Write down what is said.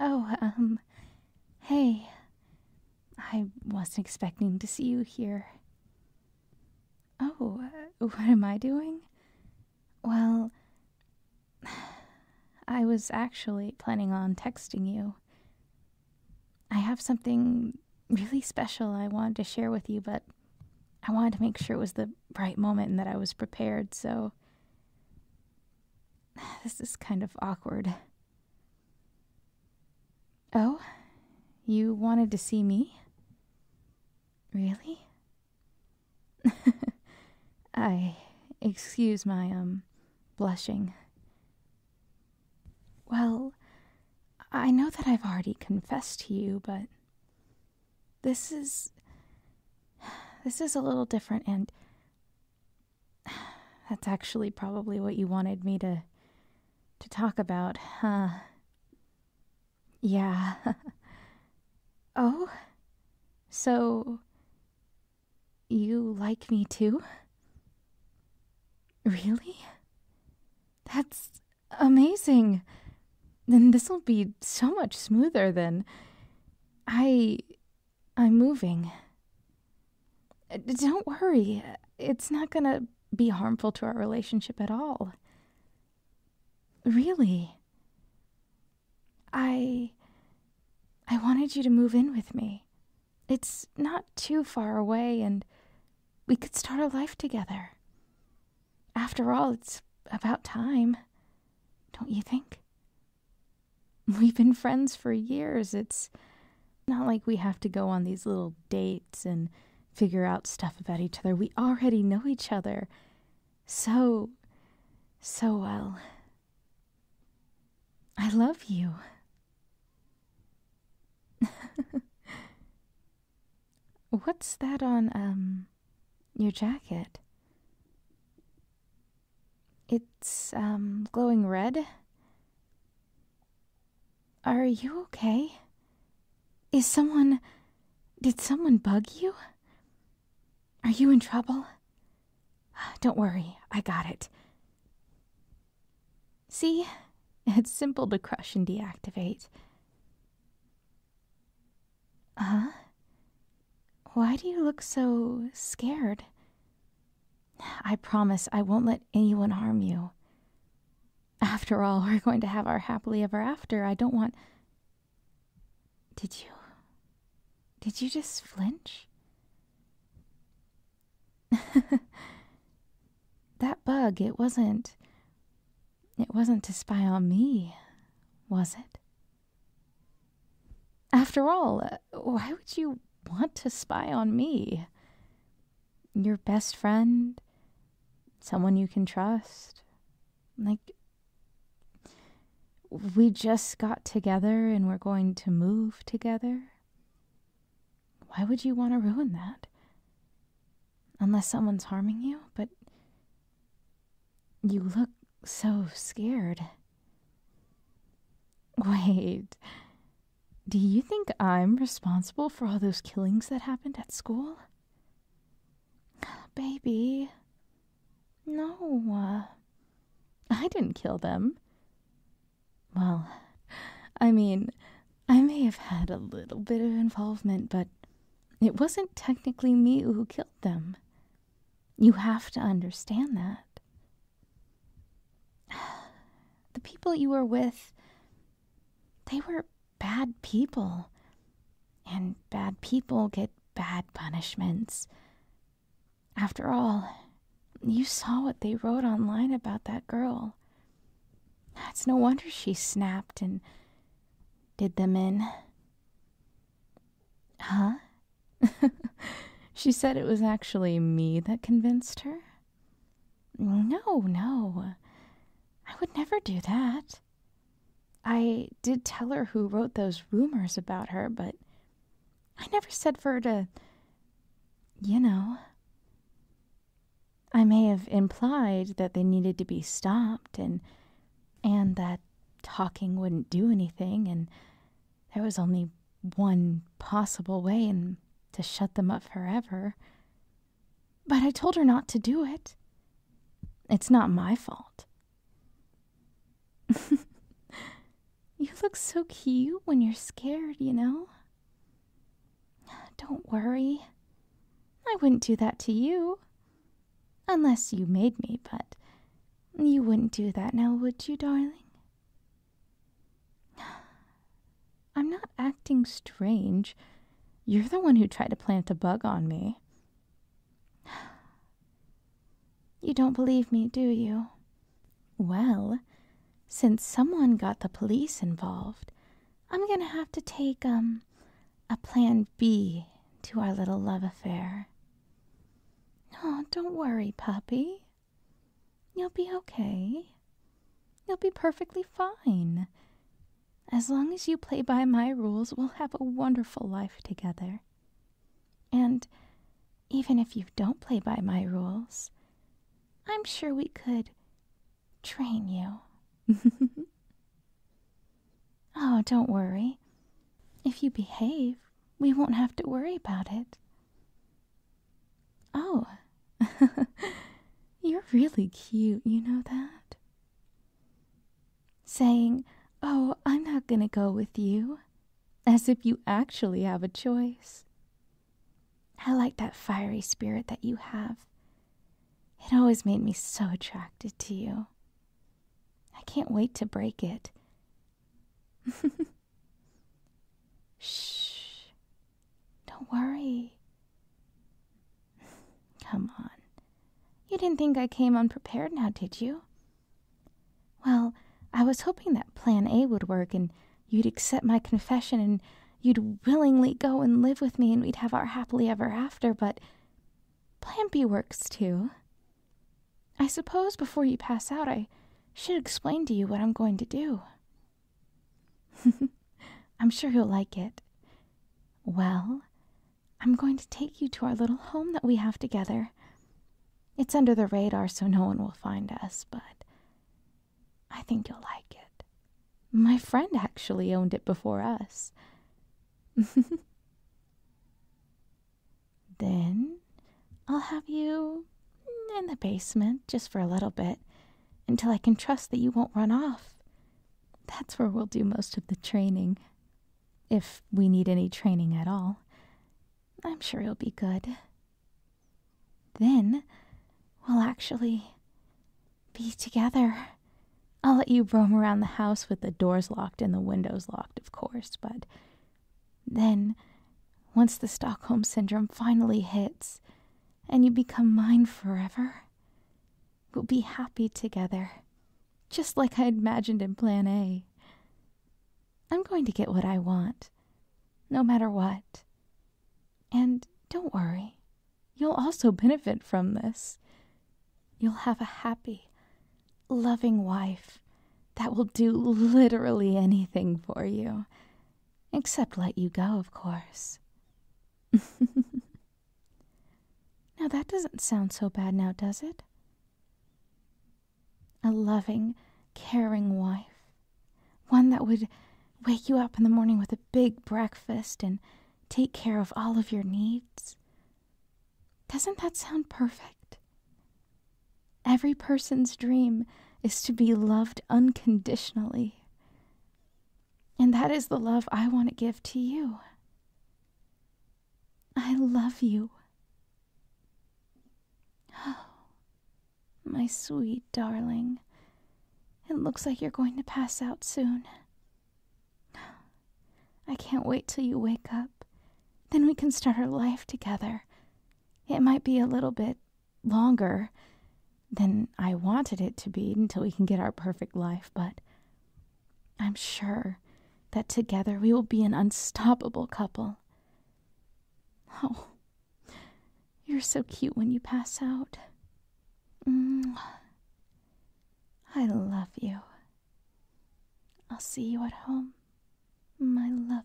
Oh, um, hey. I wasn't expecting to see you here. Oh, uh, what am I doing? Well, I was actually planning on texting you. I have something really special I wanted to share with you, but I wanted to make sure it was the right moment and that I was prepared, so this is kind of awkward. Oh? You wanted to see me? Really? I excuse my, um, blushing. Well, I know that I've already confessed to you, but this is. This is a little different, and. That's actually probably what you wanted me to. to talk about, huh? Yeah. oh? So. You like me too? Really? That's amazing then this'll be so much smoother than. I. I'm moving. Uh, don't worry, it's not gonna be harmful to our relationship at all. Really. I. I wanted you to move in with me. It's not too far away, and we could start a life together. After all, it's about time, don't you think? We've been friends for years. It's not like we have to go on these little dates and figure out stuff about each other. We already know each other so, so well. I love you. What's that on um your jacket? It's um glowing red. Are you okay? Is someone did someone bug you? Are you in trouble? Don't worry, I got it. See? It's simple to crush and deactivate. Huh? Why do you look so scared? I promise I won't let anyone harm you. After all, we're going to have our happily ever after. I don't want. Did you. Did you just flinch? that bug, it wasn't. It wasn't to spy on me, was it? After all, uh, why would you want to spy on me? Your best friend? Someone you can trust? Like, we just got together and we're going to move together? Why would you want to ruin that? Unless someone's harming you, but you look so scared. Wait, do you think I'm responsible for all those killings that happened at school? Baby, no, I didn't kill them. Well, I mean, I may have had a little bit of involvement, but it wasn't technically me who killed them. You have to understand that. The people you were with, they were bad people. And bad people get bad punishments. After all, you saw what they wrote online about that girl. It's no wonder she snapped and did them in. Huh? she said it was actually me that convinced her. No, no. I would never do that. I did tell her who wrote those rumors about her, but I never said for her to. You know. I may have implied that they needed to be stopped and. and that talking wouldn't do anything and there was only one possible way and to shut them up forever. But I told her not to do it. It's not my fault. You look so cute when you're scared, you know? Don't worry. I wouldn't do that to you. Unless you made me, but you wouldn't do that now, would you, darling? I'm not acting strange. You're the one who tried to plant a bug on me. You don't believe me, do you? Well, since someone got the police involved, I'm going to have to take um a plan B to our little love affair. Oh, don't worry, puppy. You'll be okay. You'll be perfectly fine. As long as you play by my rules, we'll have a wonderful life together. And even if you don't play by my rules, I'm sure we could train you. oh, don't worry. If you behave, we won't have to worry about it. Oh, you're really cute, you know that? saying, Oh, I'm not going to go with you, as if you actually have a choice. I like that fiery spirit that you have. It always made me so attracted to you. I can't wait to break it. Shh. Don't worry. Come on. You didn't think I came unprepared now, did you? Well, I was hoping that plan A would work and you'd accept my confession and you'd willingly go and live with me and we'd have our happily ever after, but plan B works too. I suppose before you pass out, I should explain to you what I'm going to do. I'm sure you'll like it. Well, I'm going to take you to our little home that we have together. It's under the radar, so no one will find us, but I think you'll like it. My friend actually owned it before us. then I'll have you in the basement just for a little bit until I can trust that you won't run off that's where we'll do most of the training. If we need any training at all. I'm sure he'll be good. Then we'll actually be together. I'll let you roam around the house with the doors locked and the windows locked, of course, but then, once the Stockholm Syndrome finally hits and you become mine forever, We'll be happy together, just like I imagined in Plan A. I'm going to get what I want, no matter what. And don't worry, you'll also benefit from this. You'll have a happy, loving wife that will do literally anything for you, except let you go, of course. now that doesn't sound so bad now, does it? A loving, caring wife. One that would wake you up in the morning with a big breakfast and take care of all of your needs. Doesn't that sound perfect? Every person's dream is to be loved unconditionally. And that is the love I want to give to you. I love you. Oh, my sweet darling. It looks like you're going to pass out soon. I can't wait till you wake up. Then we can start our life together. It might be a little bit longer than I wanted it to be until we can get our perfect life, but I'm sure that together we will be an unstoppable couple. Oh, you're so cute when you pass out. Mm. I love you. I'll see you at home, my lover.